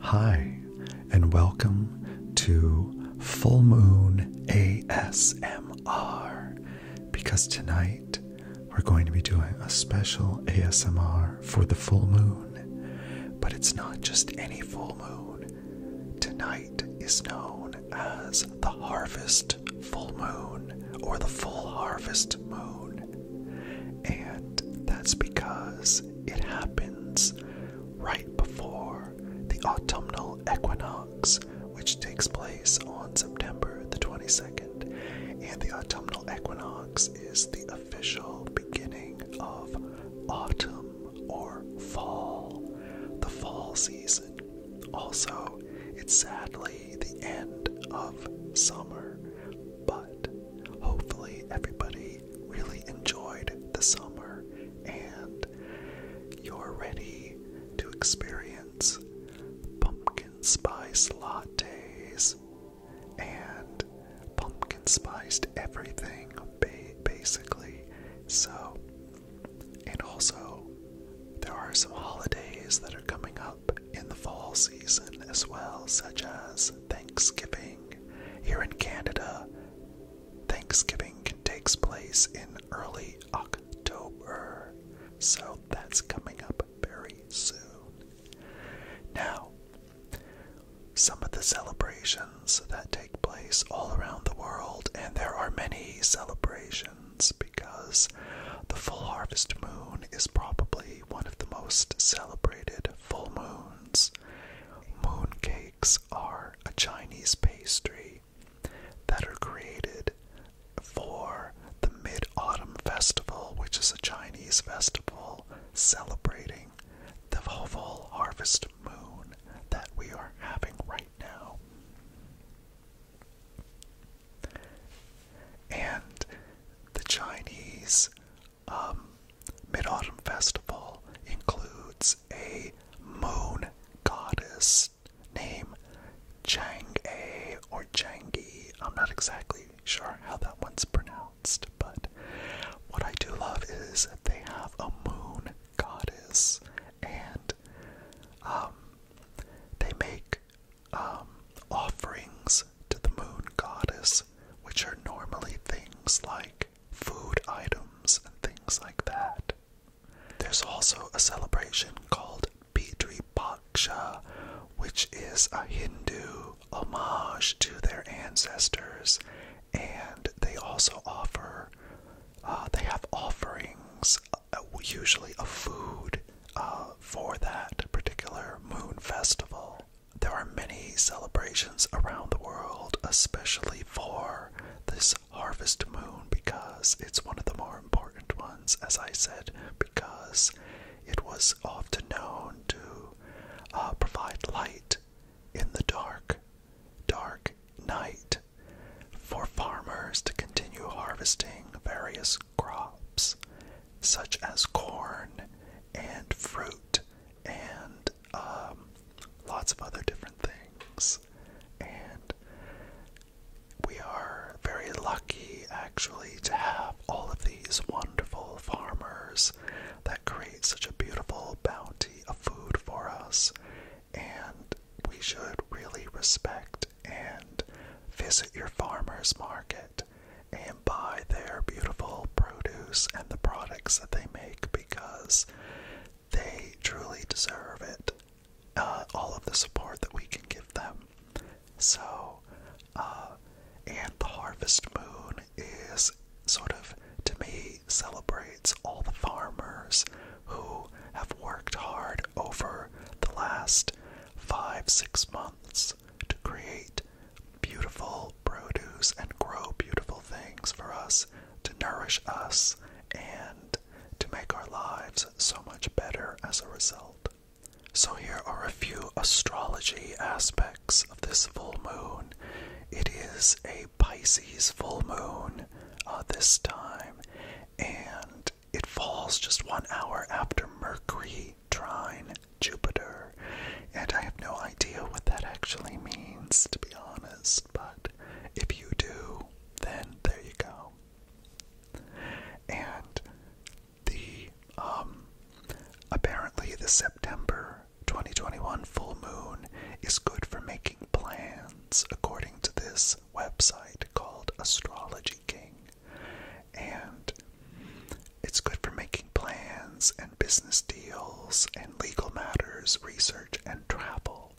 Hi, and welcome to Full Moon ASMR. Because tonight we're going to be doing a special ASMR for the full moon. But it's not just any full moon. Tonight is known as the harvest full moon or the full harvest moon. And that's because it happens right before the autumnal equinox, which takes place on September the 22nd. And the autumnal equinox is the official beginning of autumn or fall, the fall season. Also, it's sadly the end of summer, but hopefully everybody really, enjoyed the summer and you're ready to experience pumpkin spice lattes and pumpkin spiced everything basically. So, and also, there are some holidays that are coming up in the fall season as well, such as Thanksgiving. Here in Canada, Thanksgiving takes place in early October, so that's coming up very soon. Now, some of the celebrations that take place all around the world, and there are many celebrations because the full harvest moon is probably one of the most celebrated full moons. Mooncakes are a Chinese pastry that are created for the Mid Autumn Festival, which is a Chinese festival celebrating the full harvest moon that we are having right now. And the Chinese um, Mid Autumn Festival includes a moon goddess named Chang'e or Changi. I'm not exactly sure how that one's pronounced, but what I do love is that they have a moon goddess and um, they make um, offerings to the moon goddess which are normally things like food items and things like that. There's also a celebration called Pitri Paksha, which is a Hindu homage to their ancestors, and they also offer, uh, they have offerings, uh, usually a food, uh, for that particular moon festival. There are many celebrations around the world, especially for this harvest moon, because it's one of the more important ones, as I said, because it was often known to uh, provide light in the dark, dark night for farmers to continue harvesting various crops, such as corn and fruit and um, lots of other different things. And we are very lucky actually to have all of these wonderful farmers that create such a beautiful bounty of food for us. And we should really respect and visit your farmers market and buy their beautiful produce and the products that they make because they truly deserve it. Uh, all of the support that we can give them. So, uh, and the harvest moon is sort of, to me, celebrates all the farmers who have worked hard over the last five, six months to create beautiful produce and grow beautiful things for us to nourish us and to make our lives so much better as a result. So, here are a few astrology aspects of this full moon. It is a Pisces full moon uh, this time, and it falls just one hour after Mercury trine Jupiter, and I have no idea what that actually means, to be honest, but if you do, then there you go. And the, um, apparently the September 2021 full moon is good for making plans, according to this website called Astrology King and it's good for making plans and business deals and legal matters, research and travel.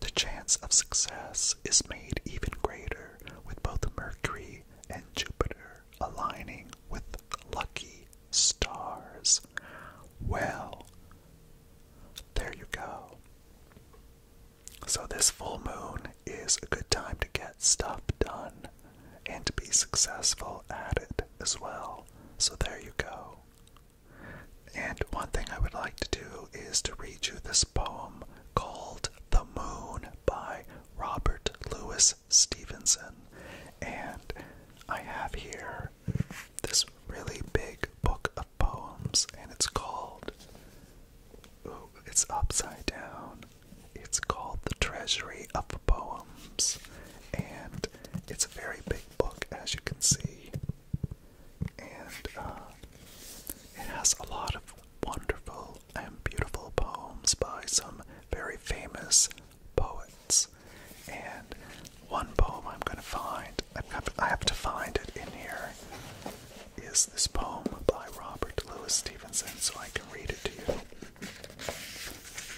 The chance of success is made even greater with both Mercury and Jupiter aligning with lucky stars. Well, there you go. So, this full moon is a good time to get stuff done and be successful at it as well. So there you go. And one thing I would like to do is to read you this poem called The Moon by Robert Louis Stevenson. And I have here this really big book of poems, and it's called, ooh, it's upside down. It's called The Treasury of Poems, and it's a very big book, as you can see. And uh, it has a lot of wonderful and beautiful poems by some very famous poets. And one poem I'm going to find, I have to find it in here, is this poem by Robert Louis Stevenson so I can read it to you.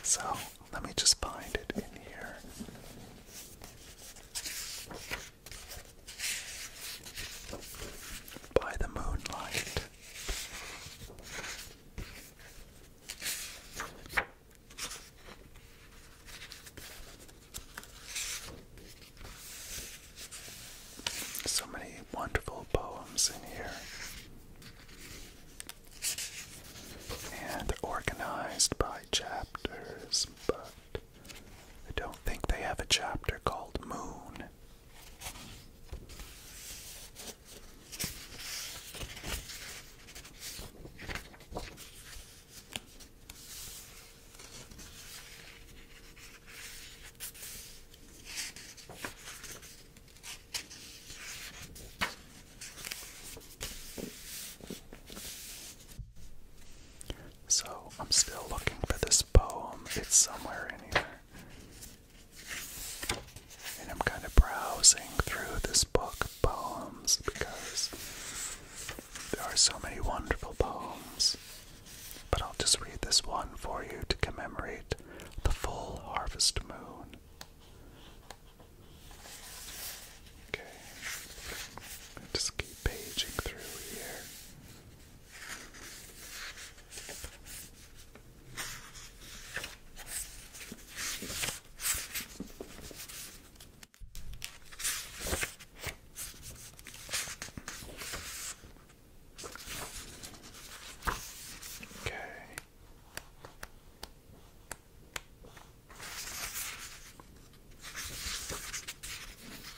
So let me just find it in here. By the moonlight. So many wonderful poems in here. And they're organized by chapters, but I don't think they have a chapter called Moon. So I'm still looking for this poem. It's somewhere in here. And I'm kind of browsing through this book of poems because there are so many wonderful poems. But I'll just read this one for you to commemorate the full harvest moon. Okay, just keep paging through here. Okay.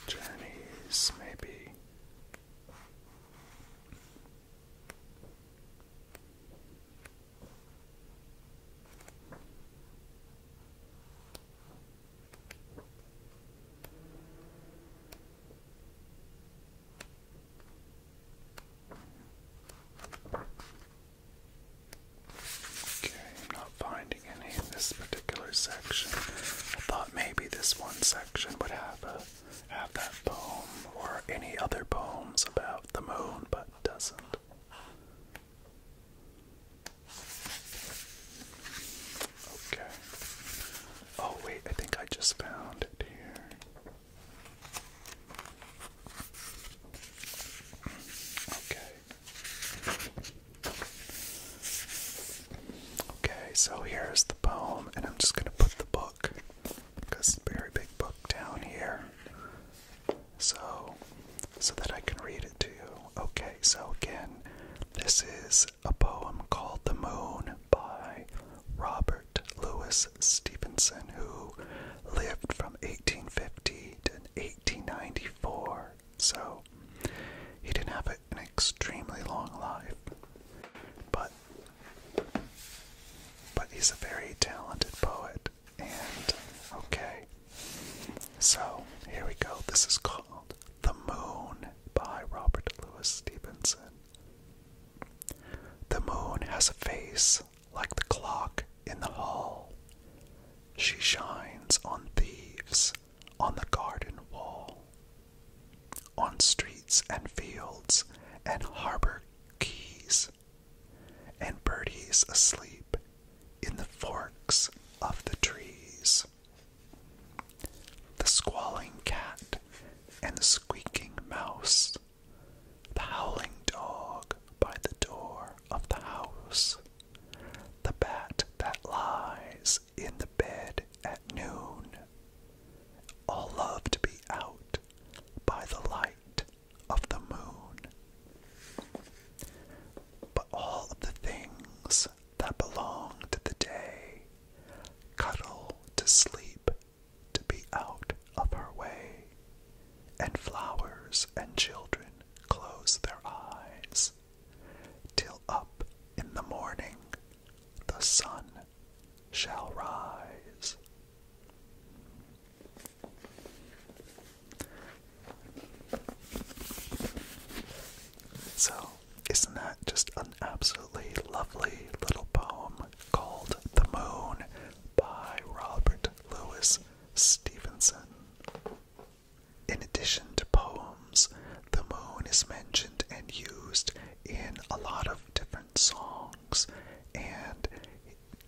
Journeys, maybe. Okay, i not finding any in this particular section. I thought maybe this one section would have a have that poem or any other poems about the moon, but doesn't. Okay. Oh wait, I think I just found it here. Okay. Okay, so here's the poem, and I'm just going to put the book, because it's a very big book, down here. So, so that I can read it to you. Okay, so again, this is a poem called The Moon by Robert. Robert Louis Stevenson, who lived from 1850 to 1894. So he didn't have an extremely long life, but but he's a very talented poet. And okay, so here we go. This is called "The Moon" by Robert Louis Stevenson. The moon has a face like the clock in the hall. She shines on thieves on the garden wall, on streets and fields and harbor keys, and birdies asleep in the forks of the trees the squalling cat and the squeaking mouse, the howling dog by the door of the house, the bat that lies in the bed at noon, all love to be out by the light of the moon. But all of the things that belong to the day cuddle to sleep to be out of her way, and flowers and children close their eyes, till up in the morning the sun shall rise. So, isn't that just an absolutely lovely little poem called The Moon by Robert Louis Stevenson? In addition to poems, the moon is mentioned and used in a lot of different songs, and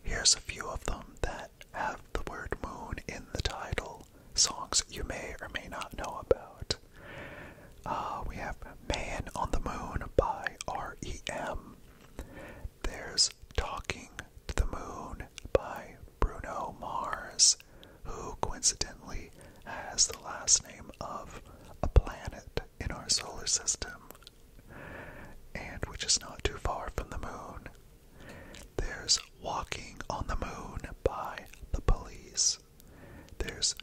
here's a few of them that have the word moon in the title, songs you may or may not know about. Uh, we have Man on the Moon by REM. There's Talking to the Moon by Bruno Mars, who coincidentally has the last name of a planet in our solar system, and which is not too far from the moon. There's Walking on the Moon by The Police this. There's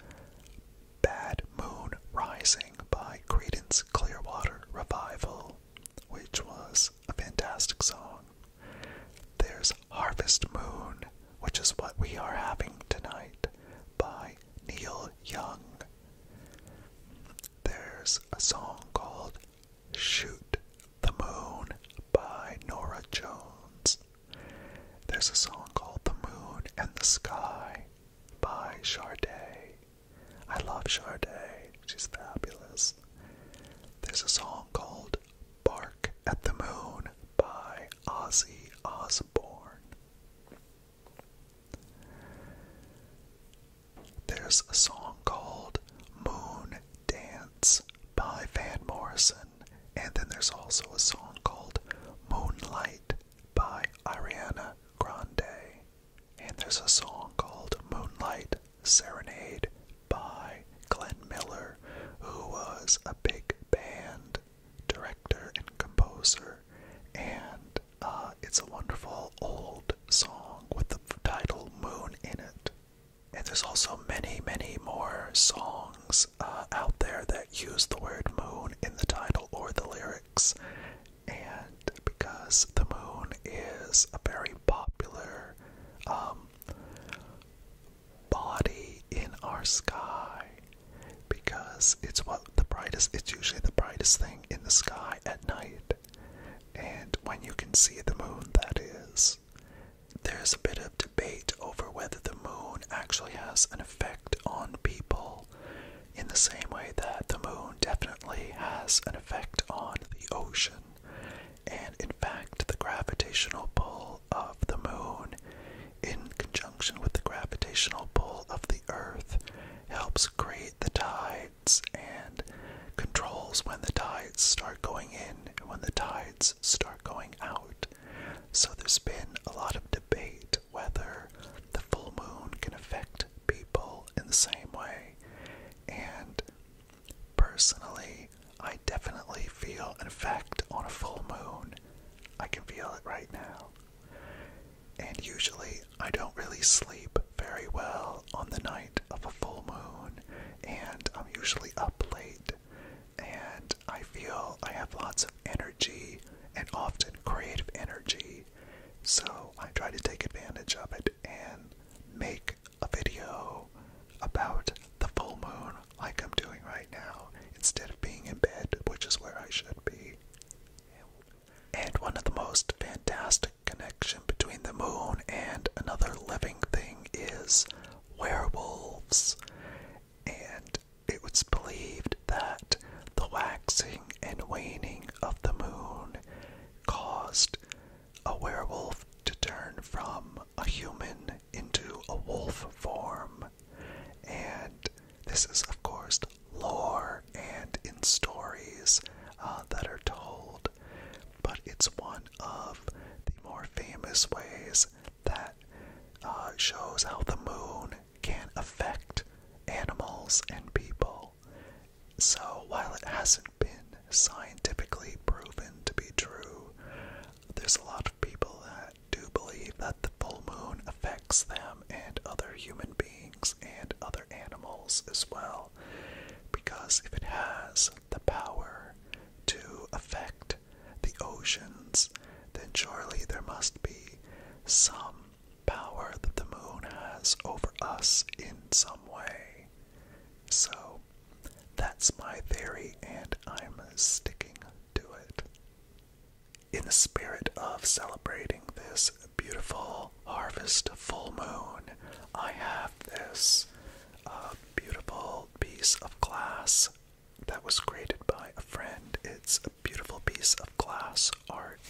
Bad Moon Rising by Credence Clearwater Revival, which was a fantastic song. There's Harvest Moon, which is what we are having tonight, by Neil Young. There's a song called Shoot the Moon by Nora Jones. There's a song called The Moon and the Sky by Sade. I love Sade. She's fabulous. There's a song called Bark at the Moon by Ozzy Osbourne. There's a song called Moon Dance by Van Morrison. And then there's also a song called Moonlight by Ariana Grande. And there's a song called Moonlight Serenade by Glenn Miller, who was a big band director and composer. And uh, it's a wonderful old song with the title Moon in it. And there's also many, many more songs uh, out there that use the word moon in the title or the lyrics. And because the moon is a very popular um, body in our sky, because it's what the brightest, it's usually the brightest thing in the sky at night. And when you can see the moon, that is. There's a bit of debate over whether the moon actually has an effect on people in the same way that the moon definitely has an effect on the ocean. And in fact, the gravitational pull of the moon in conjunction with the gravitational pull of the earth helps create the tides and controls when the tides start going in and when the tides start going out. So there's been a lot of debate whether The full moon can affect people in the same way. And personally, I definitely feel an effect on a full moon. I can feel it right now. And usually, I don't really sleep very well on the night of a full moon, and I'm usually up late and I feel I have lots of energy and often creative energy. So I try to take advantage of it and make a video about the full moon like I'm doing right now instead of being in bed, which is where I should be. And one of the most fantastic connection between the moon and another living thing is werewolves. And it was believed that the waxing and waning of the moon caused a werewolf to turn from a human into a wolf form. And this is, of course, lore and in stories uh, that are told, but it's one of the more famous ways that uh, shows how the moon can affect animals and people. So, while it hasn't been scientifically proven to be true, there's a lot of people that do believe that the full moon affects them and other human beings and other animals as well. Because if it has the power to affect the oceans, then surely there must be some power that the moon has over us in some way. So, that's my theory, and I'm sticking to it. In the spirit of celebrating this beautiful harvest full moon, I have this uh, beautiful piece of glass that was created by a friend. It's a beautiful piece of glass art,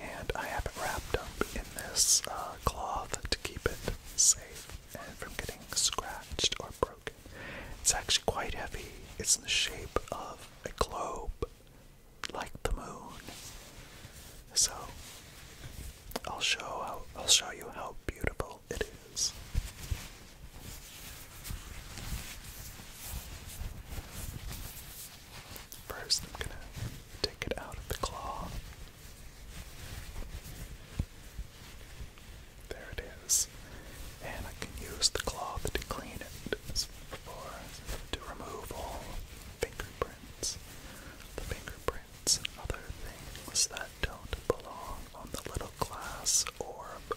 and I have it wrapped up in this uh, cloth to keep it safe and from getting scratched or broken. It's actually quite heavy. It's in the shape of a globe, like the moon. So I'll show I'll show you how beautiful it is. First, I'm going to take it out of the claw. There it is. And I can use the cloth to clean it as before to remove all fingerprints. The fingerprints and other things that don't belong on the little glass orb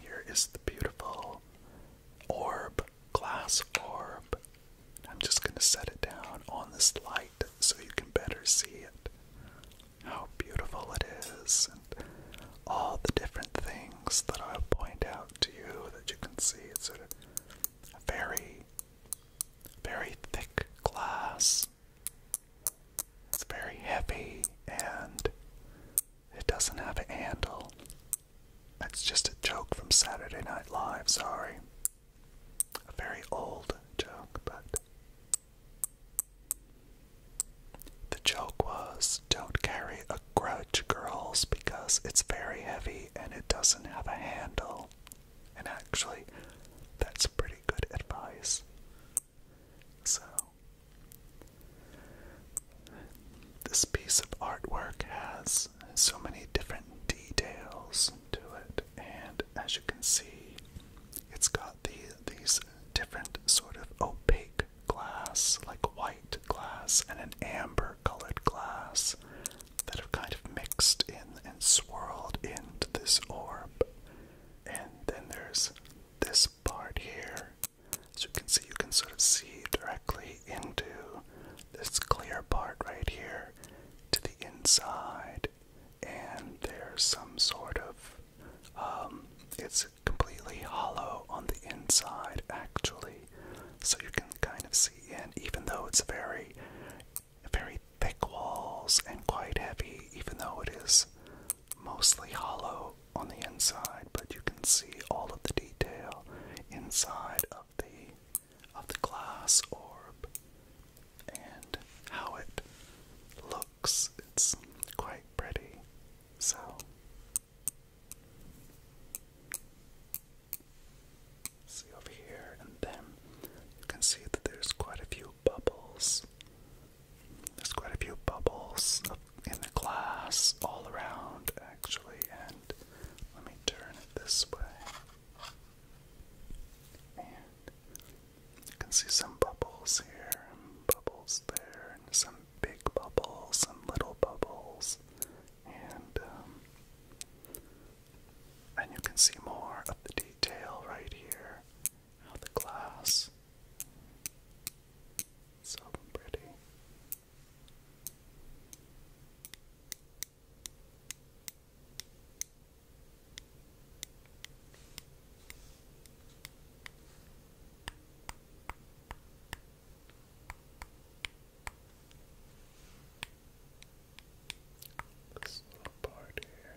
here is the beautiful orb, glass orb. I'm just going to set it down on this light so you can better see it. How beautiful it is all the different things that I'll point out to you that you can see. It's a very, very thick glass. It's very heavy and it doesn't have a handle. That's just a joke from Saturday Night Live, sorry. A very old joke, but the joke was don't carry a grudge, girls, because it's very heavy and it doesn't have a handle. And actually, that's pretty good advice. So, this piece of artwork has so many different details to it, and as you can see, it's got the, these different sort of opaque glass, like white glass, and an amber colored glass that have kind of mixed in and swirled into this orb. And then there's this part here. So you can see, you can sort of see directly into this clear part right here to the inside. And there's some sort of, um, it's completely hollow on the inside, actually. So you can kind of see in, even though it's very, very thick walls and quite heavy, even though it is mostly hollow on the inside, but you can see all of the detail inside of the of the glass orb and how it looks. It's quite pretty. So See over here, and then you can see that there's quite a few bubbles. There's quite a few bubbles in the glass all around, actually. And let me turn it this way. And you can see some bubbles here, and bubbles there, and some big bubbles, some little bubbles, and um, and you can see more of the detail right here of the glass. So pretty. This little part here.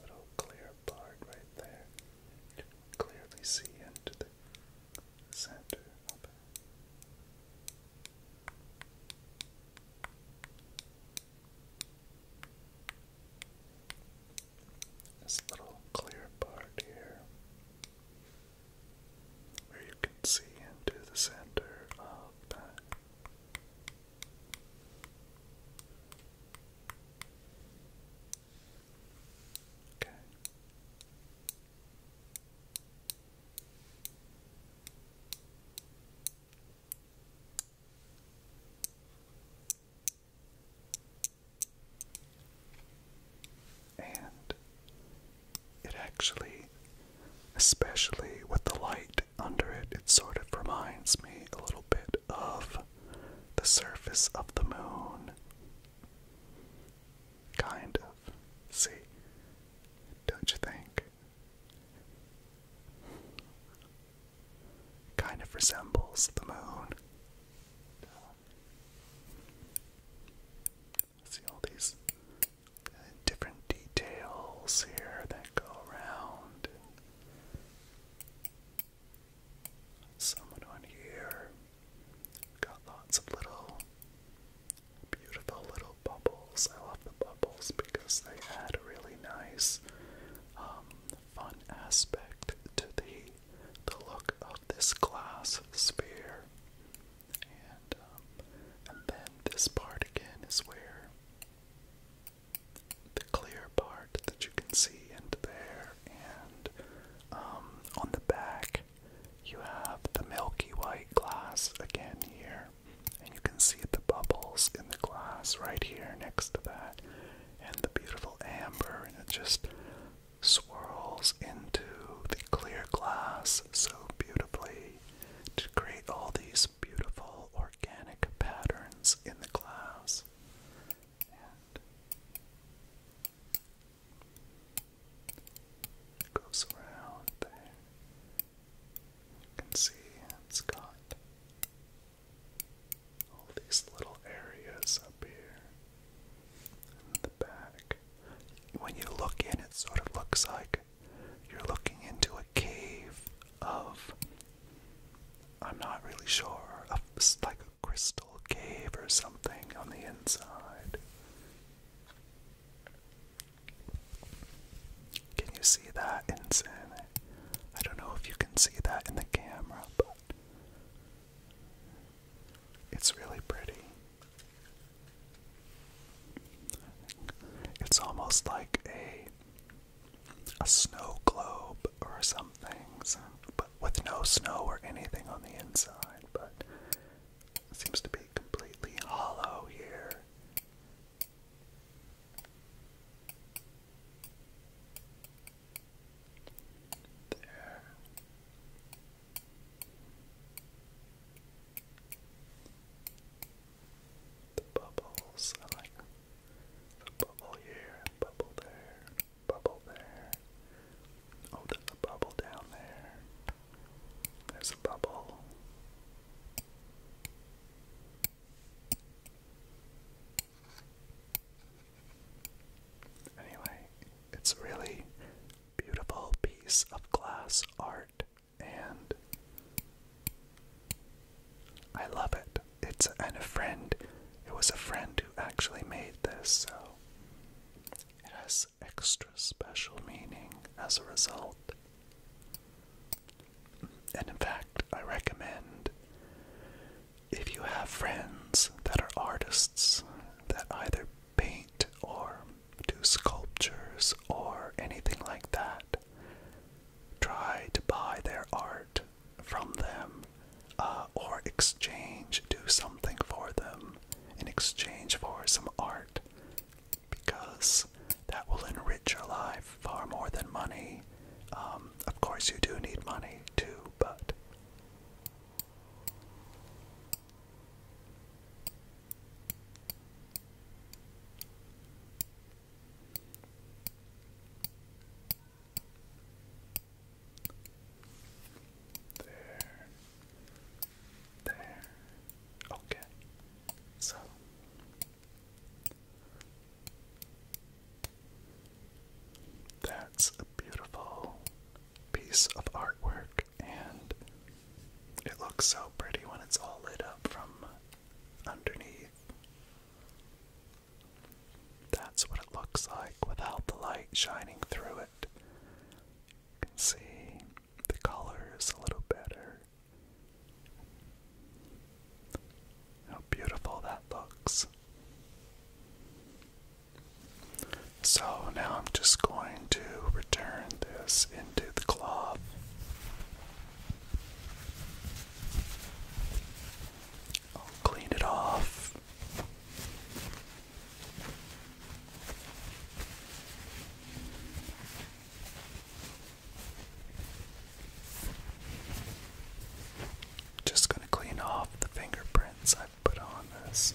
Little clear part right there. clearly see into the center of This little clear part here where you can see into the center of love that. And it actually, especially with the light under it, it sort of reminds me a little bit of the surface of the moon. Kind of. See? Don't you think? Kind of resembles the moon see all these uh, different details here that go around. Someone on here got lots of little beautiful little bubbles. I love the bubbles because they add a really nice, um, fun aspect to the the look of this glass sphere. Um, and, then this part again is where the clear part that you can see into there, and um, on the back you have the milky white glass again here, and you can see the bubbles in the glass right here next to that, and the beautiful amber, and it just swirls into the clear glass so beautifully to create all these beautiful organic patterns in the glass. And goes around there. You can see it's got all these little areas up here in the back. When you look in, it sort of looks like you're looking into a cave of, I'm not really sure, of, like a crystal cave or something on the inside. Can you see that, inside? I don't know if you can see that in the camera, but it's really pretty. It's almost like a a snow globe or something, but with no snow or anything on the inside, but seems to be completely hollow here. There. The bubbles, I like the bubble here, bubble there, bubble there. Oh, there's a bubble down there. There's a bubble. Anyway, it's a really beautiful piece of glass art and I love it. It's and a friend. It was a friend who actually made this, so it has extra special meaning as a result. And in fact, I recommend if you have friends that are artists that either paint or do sculptures or anything like that. Try to buy their art from them uh, or exchange, do something for them in exchange for some art because that will enrich your life far more than money. Um, of course, you do need money too, but there. There. Okay. So that's a beautiful piece of artwork and it looks so pretty when it's all lit up from underneath. That's what it looks like without the light shining through it. You can see the color is a little better. How beautiful that looks. So now I'm just going to return this into the cloth. I'll clean it off. Just going to clean off the fingerprints I've put on this.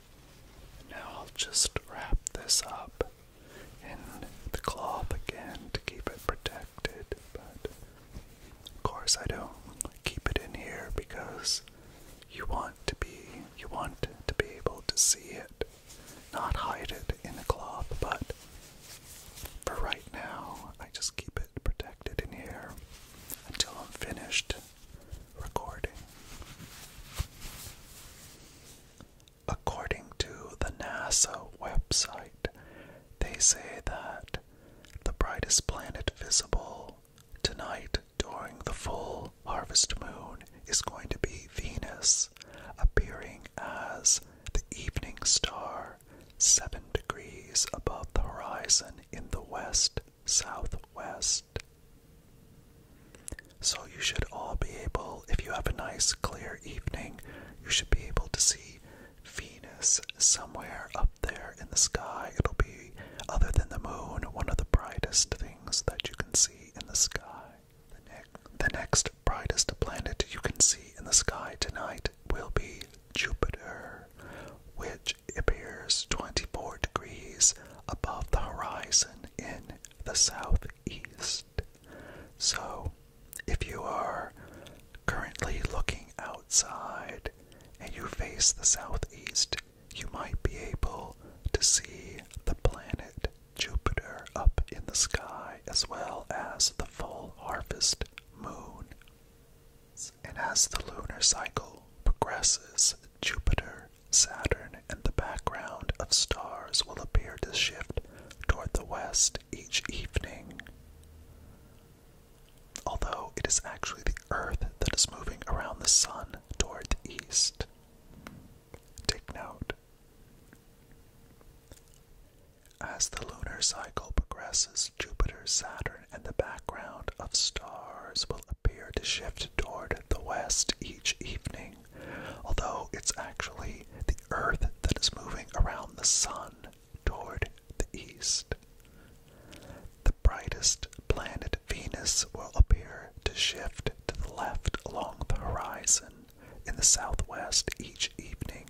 Now I'll just wrap this up in the cloth again to keep it protected, but of course I don't keep it in here because you want to be you want to be able to see it, not hide it in a cloth, but for right now I just keep it protected in here until I'm finished According to the NASA website, they say that the brightest planet visible tonight during the full harvest moon is going to be Venus, appearing as the evening star, seven degrees above the horizon in the west southwest. So you should all be able, if you have a nice clear evening, you should be able to see Venus somewhere up there in the sky. It'll be, other than the moon, one of the brightest things that you can see in the sky. The, the next brightest planet you can see in the sky tonight will be Jupiter, which appears 24 degrees above the horizon in the southeast. So, if you are currently looking outside and you face the southeast, you might be able to see the planet Jupiter up in the sky as well as the full harvest moon. And as the lunar cycle progresses, Jupiter Saturn, and the background of stars will appear to shift toward the west each evening. Although it is actually the Earth that is moving around the Sun toward the east. Take note. As the lunar cycle progresses, Jupiter, Saturn, and the background of stars will appear to shift toward the west each evening, although it's actually the Earth that is moving around the Sun toward the east. The brightest planet Venus will appear to shift to the left along the horizon in the southwest each evening,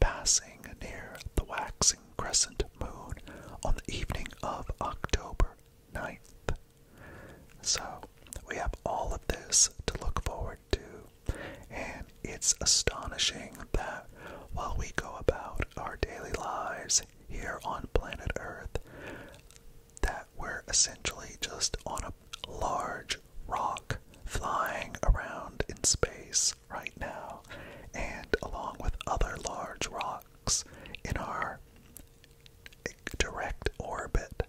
passing near the waxing crescent moon on the evening of October 9th. So we have all of this to look forward to, and it's astonishing that while we go about our daily lives here on planet Earth, that we're essentially just on a large rock flying around in space right now, and along with other large rocks in our direct orbit.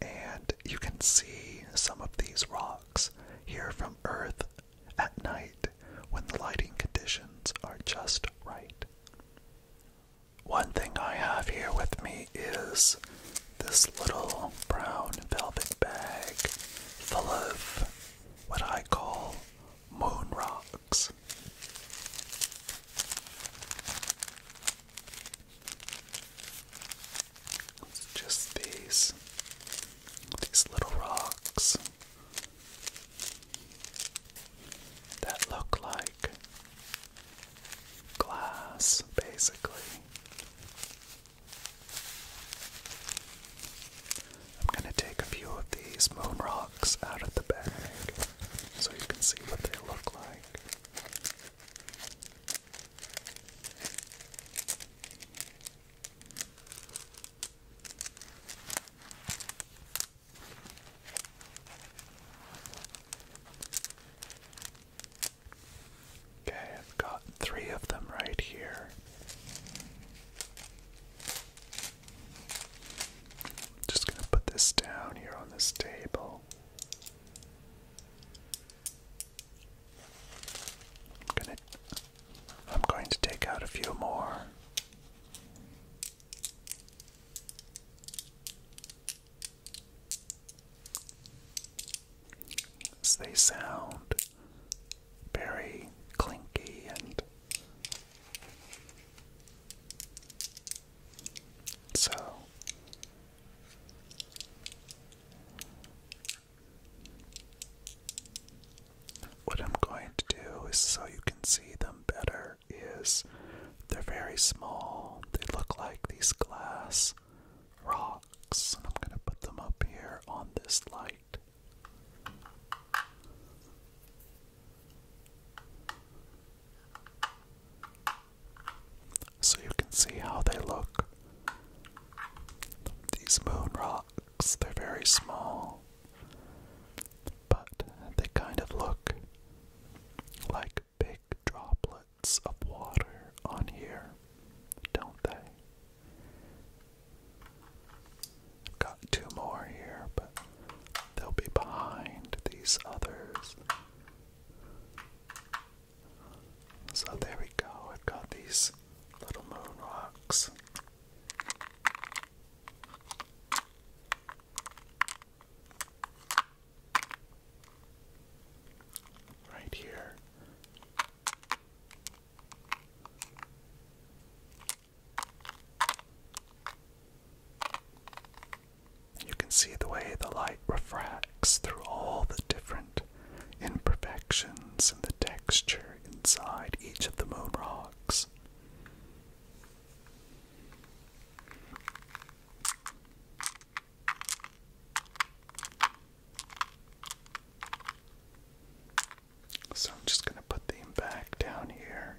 And you can see some of these rocks here from Earth at night when the lighting conditions are just right. One thing I have here with me is this little brown velvet bag full of what I call moon rock. It's just these these little rocks that look like glass, basically. I'm going to take a few of these moon rocks out of the bag so you can see what they look like. Okay, I've got three of them right here. Just gonna put this down here on this table. I'm gonna I'm going to take out a few more. As they sound very clinky and so what I'm going to do is so you can see them better is they're very small. They look like these glass rocks. And I'm going to put them up here on this light. So you can see how they look. These moon rocks, they're very small, but they kind of look like big droplets of water on here, don't they? Got two more here, but they'll be behind these others. So there we go, I've got these little moon rocks. Right here. You can see the way the light refracts through all the different imperfections and the texture inside each of the moon rocks. So I'm just going to put them back down here.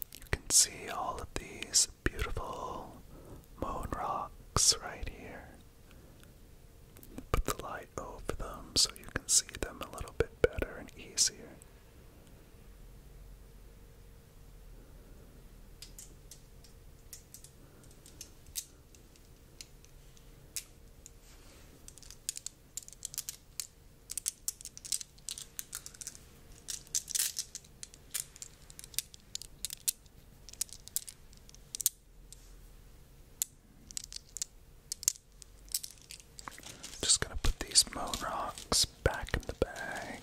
you can see all of these beautiful moon rocks right here. Put the light over them so you can see them a little bit better and easier. Just gonna put these moon rocks back in the bag.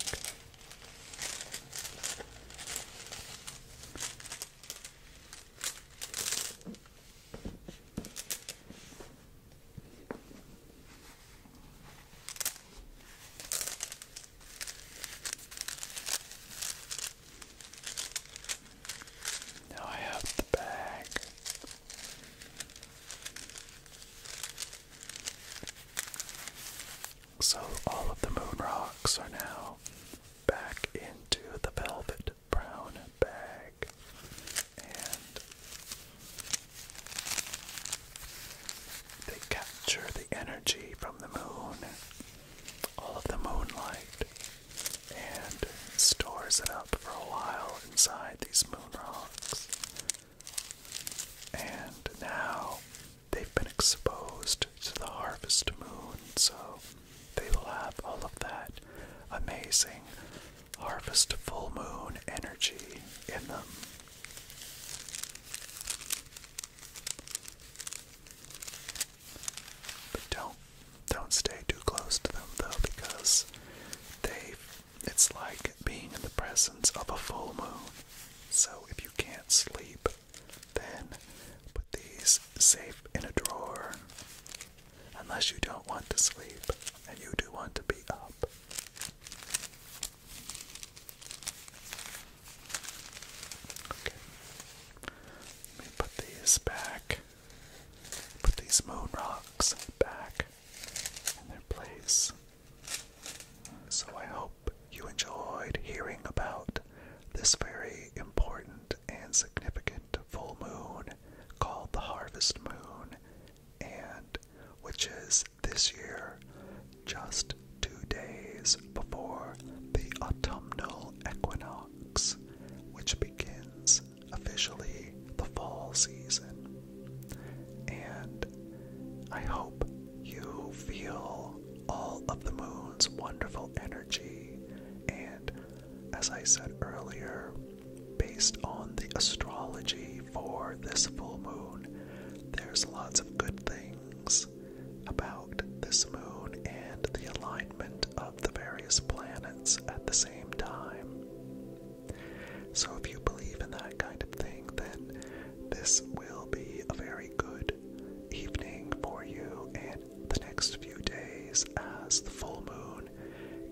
Now I have the bag. So all of the moon rocks are now back into the velvet brown bag. And they capture the energy from the moon, all of the moonlight, and stores it up for a while inside these moon rocks. And now they've been exposed to the harvest moon, so they will have all of that amazing harvest full moon energy in them. But don't don't stay too close to them though because they it's like being in the presence of a full moon. So if you can't sleep, then put these safe in a drawer. Unless you don't want to sleep and you do want to be up. Let me put these back. Put these moon rocks back in their place. So I hope you enjoyed hearing about this very important and significant full moon called the harvest moon and which is this year, just two days before the autumnal equinox, which begins officially the fall season. And I hope you feel all of the moon's wonderful energy. And as I said earlier, based on the astrology for this full moon. There's lots of good things about this moon and the alignment of the various planets at the same time. So, if you believe in that kind of thing, then this will be a very good evening for you and the next few days as the full moon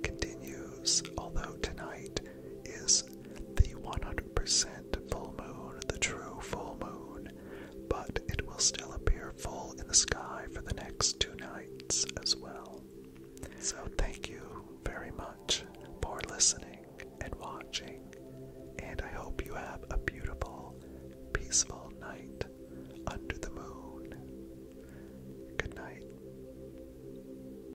continues. Although tonight is the 100% full moon, the true full moon, but it will still appear full in the sky for the next two nights as well. So, thank you very much for listening and watching, and I hope you have a beautiful, peaceful night under the moon. Good night.